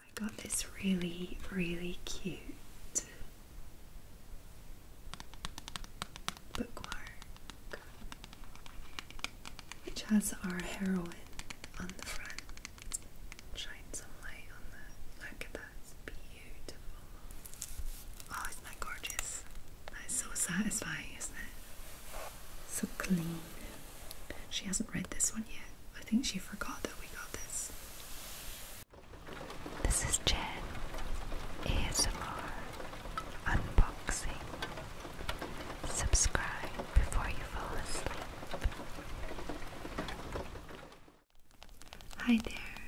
I got this really, really cute bookmark which has our heroine on the front. Shine some light on that. Look at that. It's beautiful. Oh, isn't that gorgeous? That is so satisfying, isn't it? So clean. She hasn't read this one yet. I think she forgot that we got this. This is Jen. ASMR. Unboxing. Subscribe before you fall asleep. Hi there.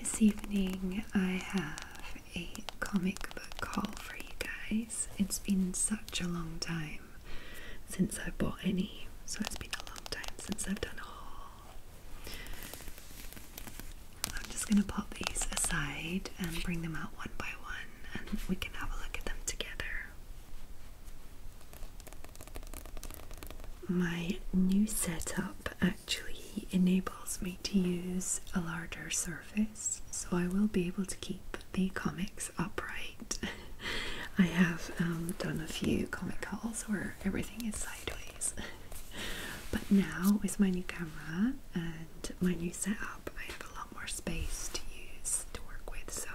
This evening I have a comic book call for you guys. It's been such a long time since I've bought any, so it's been a long time since I've done a haul. I'm just gonna pop these aside and bring them out one by one, and we can have a look at them together. My new setup actually enables me to use a larger surface, so I will be able to keep the comics upright. I have um, done a few comic calls where everything is sideways. but now with my new camera and my new setup, I have a lot more space to use to work with. So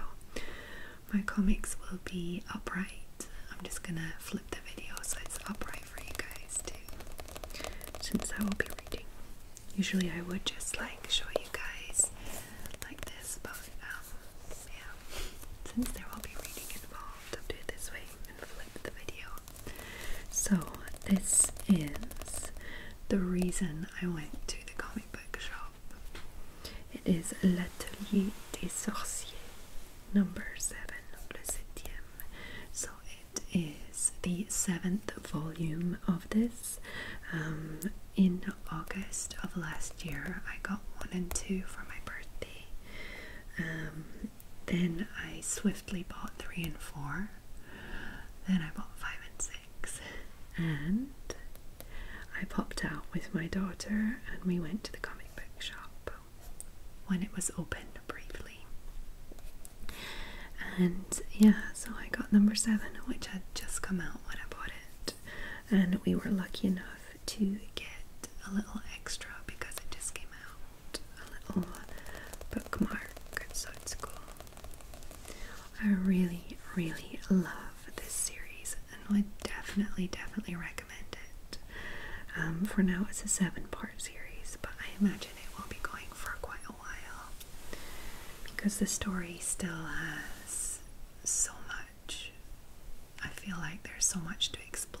my comics will be upright. I'm just gonna flip the video so it's upright for you guys too, since I will be reading. Usually I would just like show you guys like this, but um, yeah, since there will be reading involved, I'll do it this way and flip the video. So this is the reason I went to the comic book shop. It is L'Atelier des Sorciers, number 7, number 7. So it is the seventh volume of this um, in August of last year, I got one and two for my birthday. Um, then I swiftly bought three and four. Then I bought five and six. And I popped out with my daughter and we went to the comic book shop when it was open briefly. And yeah, so I got number seven, which had just come out when I bought it, and we were lucky enough to get a little extra because it just came out a little bookmark, so it's cool. I really, really love this series and would definitely, definitely recommend it. Um, for now, it's a seven part series, but I imagine it will be going for quite a while because the story still has so much. I feel like there's so much to explore.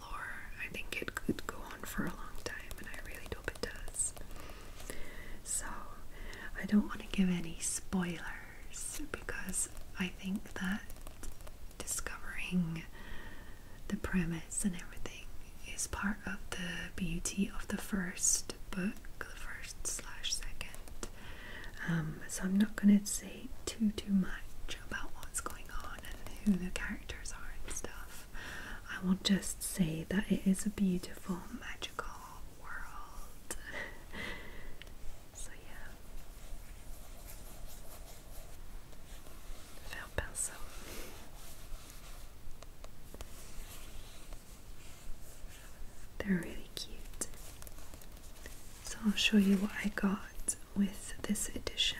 I think it could go on for a long time, and I really hope it does. So, I don't want to give any spoilers because I think that discovering the premise and everything is part of the beauty of the first book, the first slash second. Um, so I'm not going to say too too much about what's going on and who the characters are and stuff. I will just say that it is a beautiful, magical world. so yeah. Faire pinceau. They're really cute. So I'll show you what I got with this edition.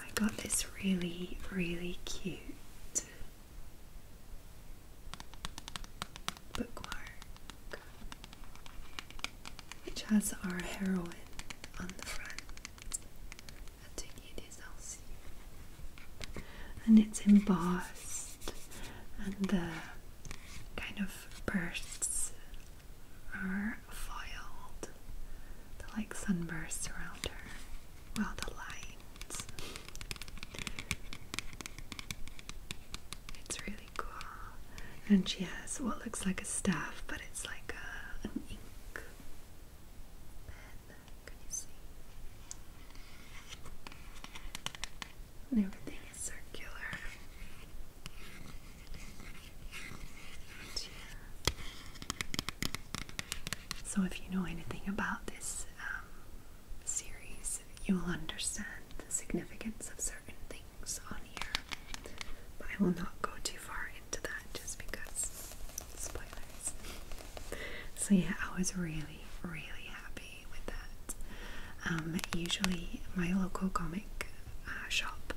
I got this really, really cute bookmark which has our heroine on the front atelier des archives and it's embossed and the kind of bursts are foiled like sunbursts around her well the lines it's really cool and she has what looks like a staff but it's like an ink pen everything is circular. So, if you know anything about this um, series, you will understand the significance of certain things on here. But I will not go too far into that just because Spoilers. so yeah, I was really, really happy with that. Um, usually, my local comic uh, shop,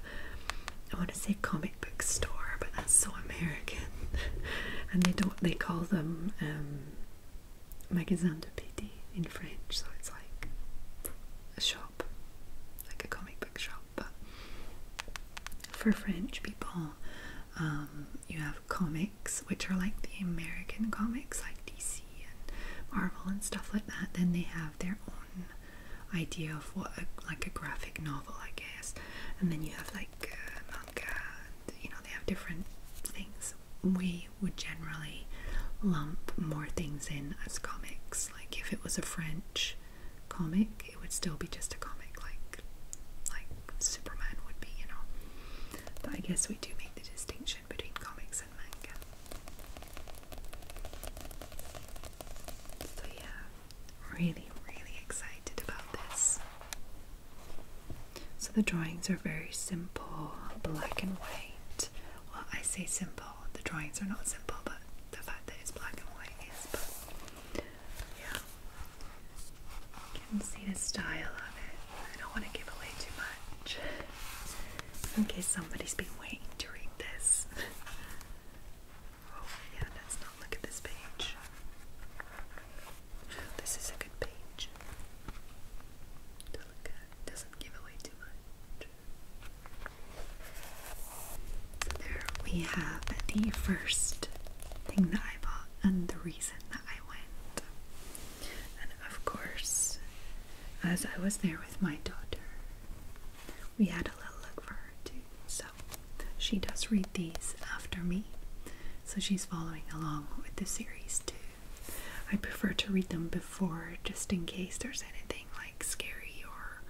I want to say comic book store, but that's so American. and they don't, they call them um, magasin de BD in French, so it's like a shop, like a comic book shop, but for French people. Um, you have comics, which are like the American comics, like DC and Marvel and stuff like that. Then they have their own idea of what, like a graphic novel, I guess. And then you have like uh, you know, they have different things. We would generally lump more things in as comics. Like if it was a French comic, it would still be just a comic, like like Superman would be, you know. But I guess we do make the distinction between comics and manga. So yeah, really, really excited about this. So the drawings are very simple, black and white. Well, I say simple, the drawings are not simple, but the fact that it's black and white is. Yeah. can see the style of it. I don't want to give away too much. In case somebody's been waiting to read this. oh, yeah, let's not look at this page. This is a good page to look at. doesn't give away too much there we have the first thing that I bought and the reason that I went. And of course, as I was there with my daughter, we had a little look for her too. So she does read these after me. So she's following along with the series too. I prefer to read them before just in case there's anything like scary or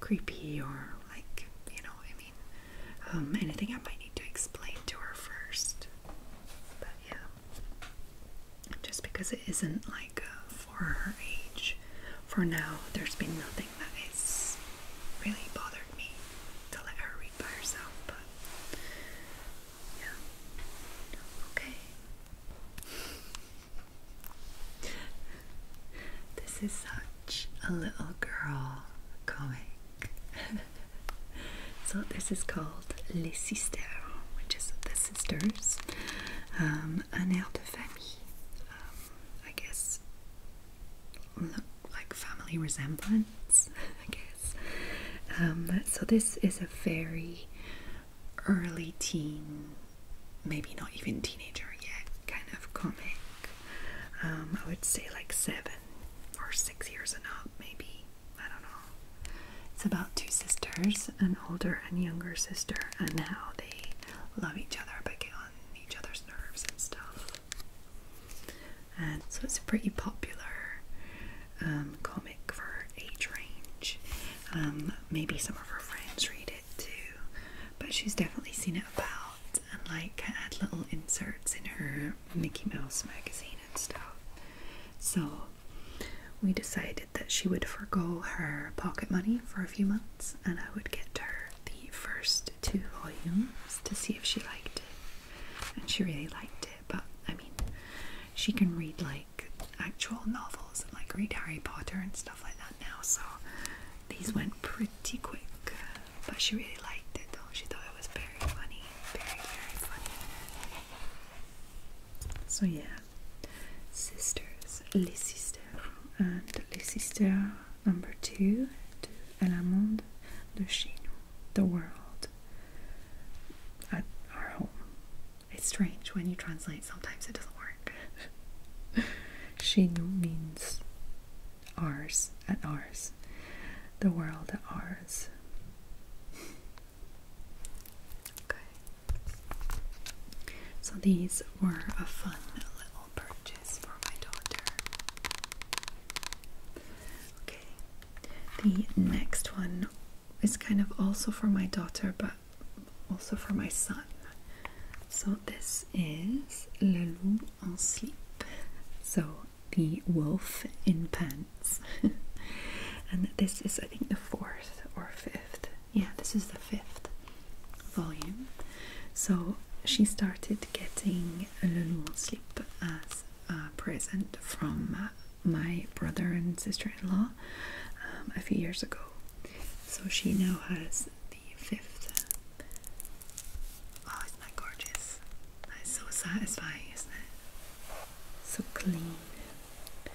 creepy or like, you know I mean? fine. Um, I think I might need to explain to her first. But yeah. Just because it isn't like uh, for her age, for now, there's been nothing that has really bothered me to let her read by herself. yeah. Okay. This is such a little girl comic. so this is called Les Sisters, which is the sisters. Um, an air de famille. Um, I guess like family resemblance, I guess. Um, so this is a very early teen maybe not even teenager yet kind of comic. Um, I would say like seven or six years and up, maybe. I don't know. It's about two sisters, an older and younger sister, and how they love each other but get on each other's nerves and stuff. And so it's a pretty popular um, comic for age range. Um, maybe some of her friends read it too, but she's definitely seen it about and like had little inserts in her Mickey Mouse magazine and stuff. So we decided that she would forego her pocket money for a few months and I would get her the first two volumes to see if she liked it. And she really liked it, but I mean, she can read like actual novels and like read Harry Potter and stuff like that now, so these went pretty quick, but she really liked it though. She thought it was very funny, very, very funny. So, yeah, sisters, Les Sisters, and Les Sisters number two to El Monde the world at our home. It's strange when you translate sometimes it doesn't work. She means ours and ours. The world at ours. Okay. So these were a fun little purchase for my daughter. Okay. The next one is kind of also for my daughter, but also for my son. So this is Le Loup en Sleep. So the wolf in pants. and this is I think the fourth or fifth. Yeah, this is the fifth volume. So she started getting Le Loup en Sleep as a present from my brother and sister-in-law um, a few years ago. So she now has fifth. Oh, isn't gorgeous? That is so satisfying, isn't it? So clean.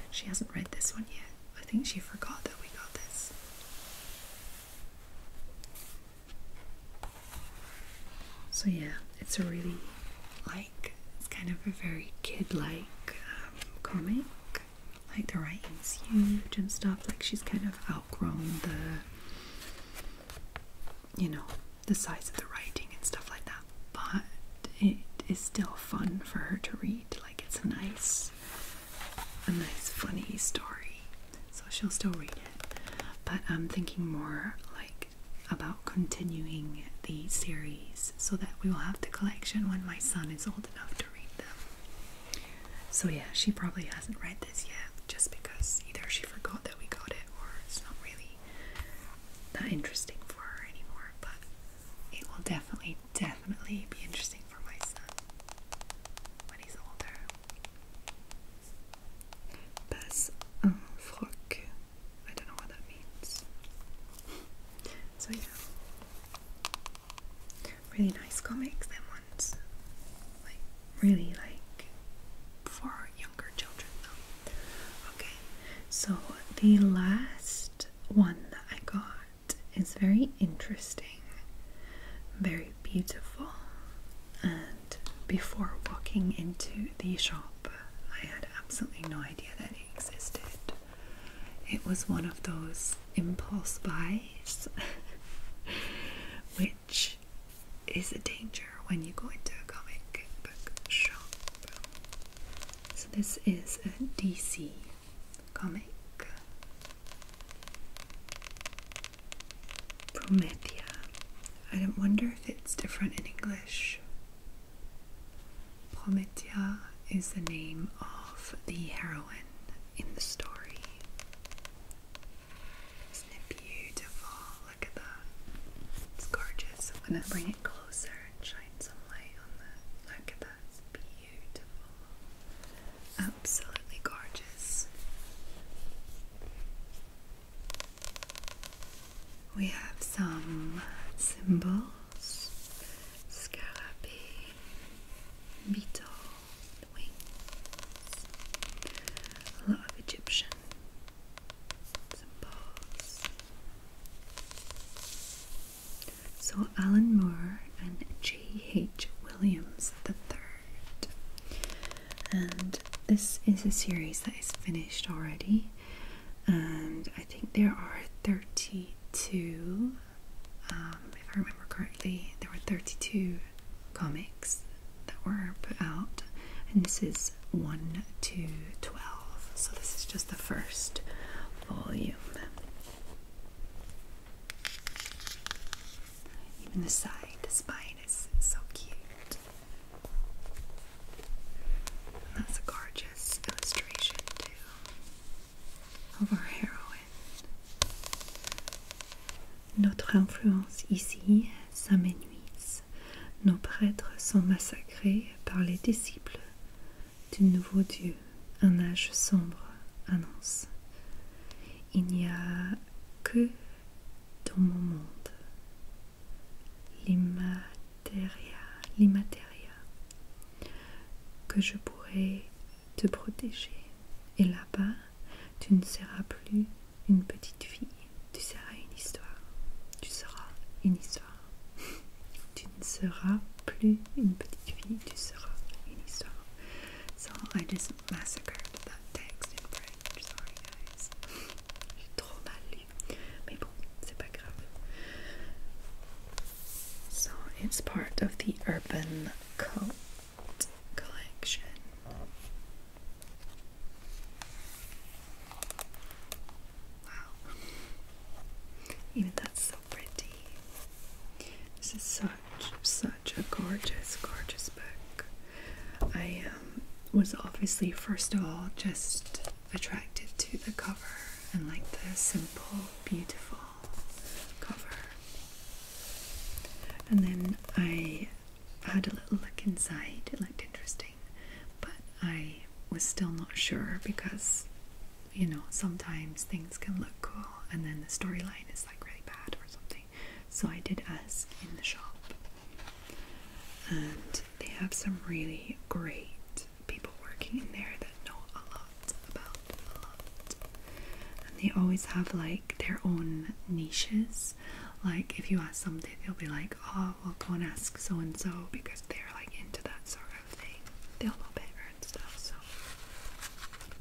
She hasn't read this one yet. I think she forgot that we got this. So, yeah, it's a really like, it's kind of a very kid like um, comic like the writing's huge and stuff. Like she's kind of outgrown the, you know, the size of the writing and stuff like that. But it is still fun for her to read. Like it's a nice, a nice funny story. So she'll still read it. But I'm thinking more like about continuing the series so that we will have the collection when my son is old enough to read them. So yeah, she probably hasn't read this yet just because either she forgot that we got it or it's not really that interesting for her anymore, but it will definitely, definitely be interesting for my son when he's older. Pass un froc. I don't know what that means. So yeah really nice comics and ones like really like for younger children though. Okay, so the last one that I got is very interesting, very beautiful, and before walking into the shop, I had absolutely no idea that it existed. It was one of those impulse buys, which is a danger when you go into a comic book shop. So, this is a DC comic. Promethea. I wonder if it's different in English. Prometia is the name of the heroine in the story. Isn't it beautiful? Look at that. It's gorgeous. I'm going to bring it closer and shine some light on that. Look at that. It's beautiful. Absolutely gorgeous. We have some symbols scarabee, beetle, wings, a lot of Egyptian symbols. So Alan Moore and J. H. Williams III. And this is a series that is finished already and I think there are 32. Um, if I remember correctly, there were 32 comics that were put out, and this is 1 to 12. So, this is just the first volume. Even the side, the spine is so cute. that's a gorgeous illustration, too. Notre influence ici s'amenuise. Nos prêtres sont massacrés par les disciples du nouveau Dieu. Un âge sombre annonce. Il n'y a que dans mon monde l'image l'immatéria, que je pourrais te protéger. Et là-bas, tu ne seras plus une petite fille, tu seras une histoire. Tu seras une histoire. tu ne seras plus une petite fille, tu seras une histoire. So I just massacred that text in Sorry guys. J'ai trop mal voyez. Mais bon, c'est So it's part of the Urban Coat collection. Wow. Even that's so pretty. This is such, such a gorgeous, gorgeous book. I um, was obviously, first of all, just attracted to the cover and like the simple, beautiful cover. And then I had a little look inside, it looked interesting, but I was still not sure because you know sometimes things can look cool and then the storyline is like really bad or something. So I did ask in the shop, and they have some really great people working in there that know a lot about a lot. And they always have like their own niches. Like if you ask something, they'll be like, oh, I'll go and ask so and so because they're like into that sort of thing. They'll know better and stuff, so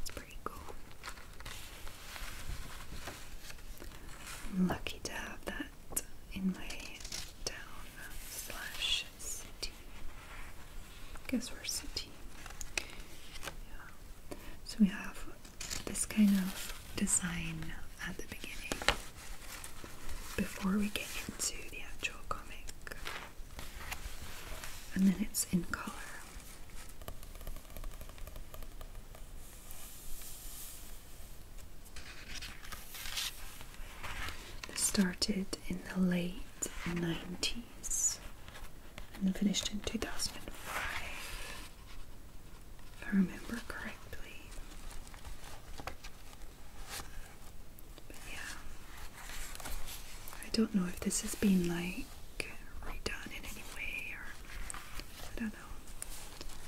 it's pretty cool. lucky to have that in my town slash city. guess we're city. Yeah. So we have this kind of design at the beginning before we get into the actual comic. And then it's in color. They started in the late 90s and finished in 2005, I remember correctly. yeah, I don't know if this has been like redone in any way or I don't know,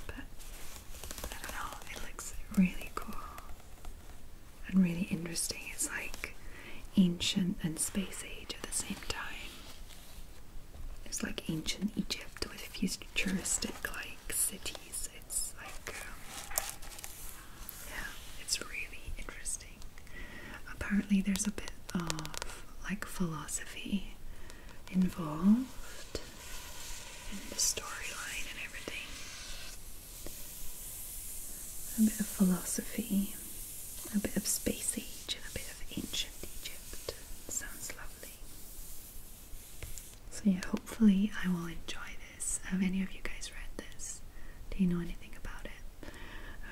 but I don't know, it looks really cool and really interesting. It's like ancient and space age at the same time. It's like ancient Egypt with futuristic like cities. It's like, um, yeah, it's really interesting. Apparently, there's a bit of like philosophy involved and the storyline and everything. A bit of philosophy, a bit of space age, and a bit of ancient Egypt. Sounds lovely. So, yeah, hopefully, I will enjoy this. Have any of you guys read this? Do you know anything about it?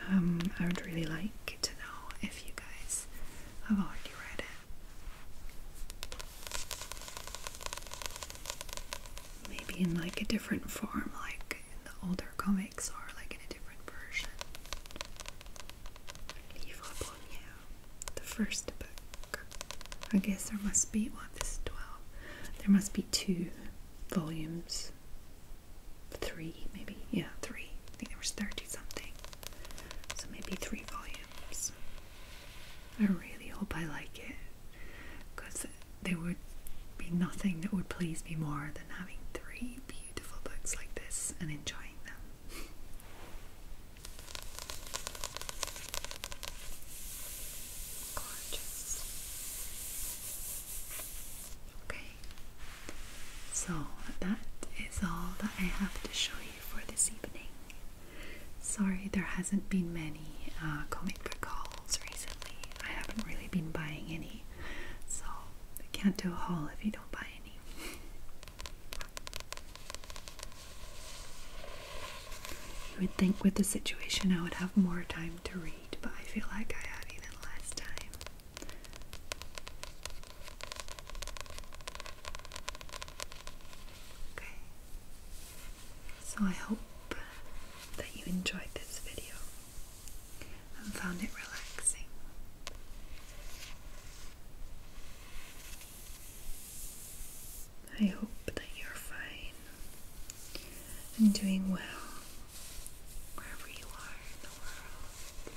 Um, I would really like to know if you guys have already read it Maybe in like a different form, like in the older comics or like in a different version. Livre Premier, the first book. I guess there must be, well, this is 12. There must be two volumes. Three, maybe. Yeah, three. I think there was 30 something. So maybe three volumes. I really hope I like it because there would be nothing that would please me more than having three beautiful books like this and enjoying them. Gorgeous. Okay, so that is all that I have to show you for this evening. Sorry, there hasn't been many uh, comic book hauls recently. I haven't really been buying any, so I can't do a haul if you don't buy any. You would think with the situation I would have more time to read, but I feel like I have even less time. Okay, so I hope that you enjoyed this video and found it relaxing. I hope that you're fine and doing well wherever you are in the world.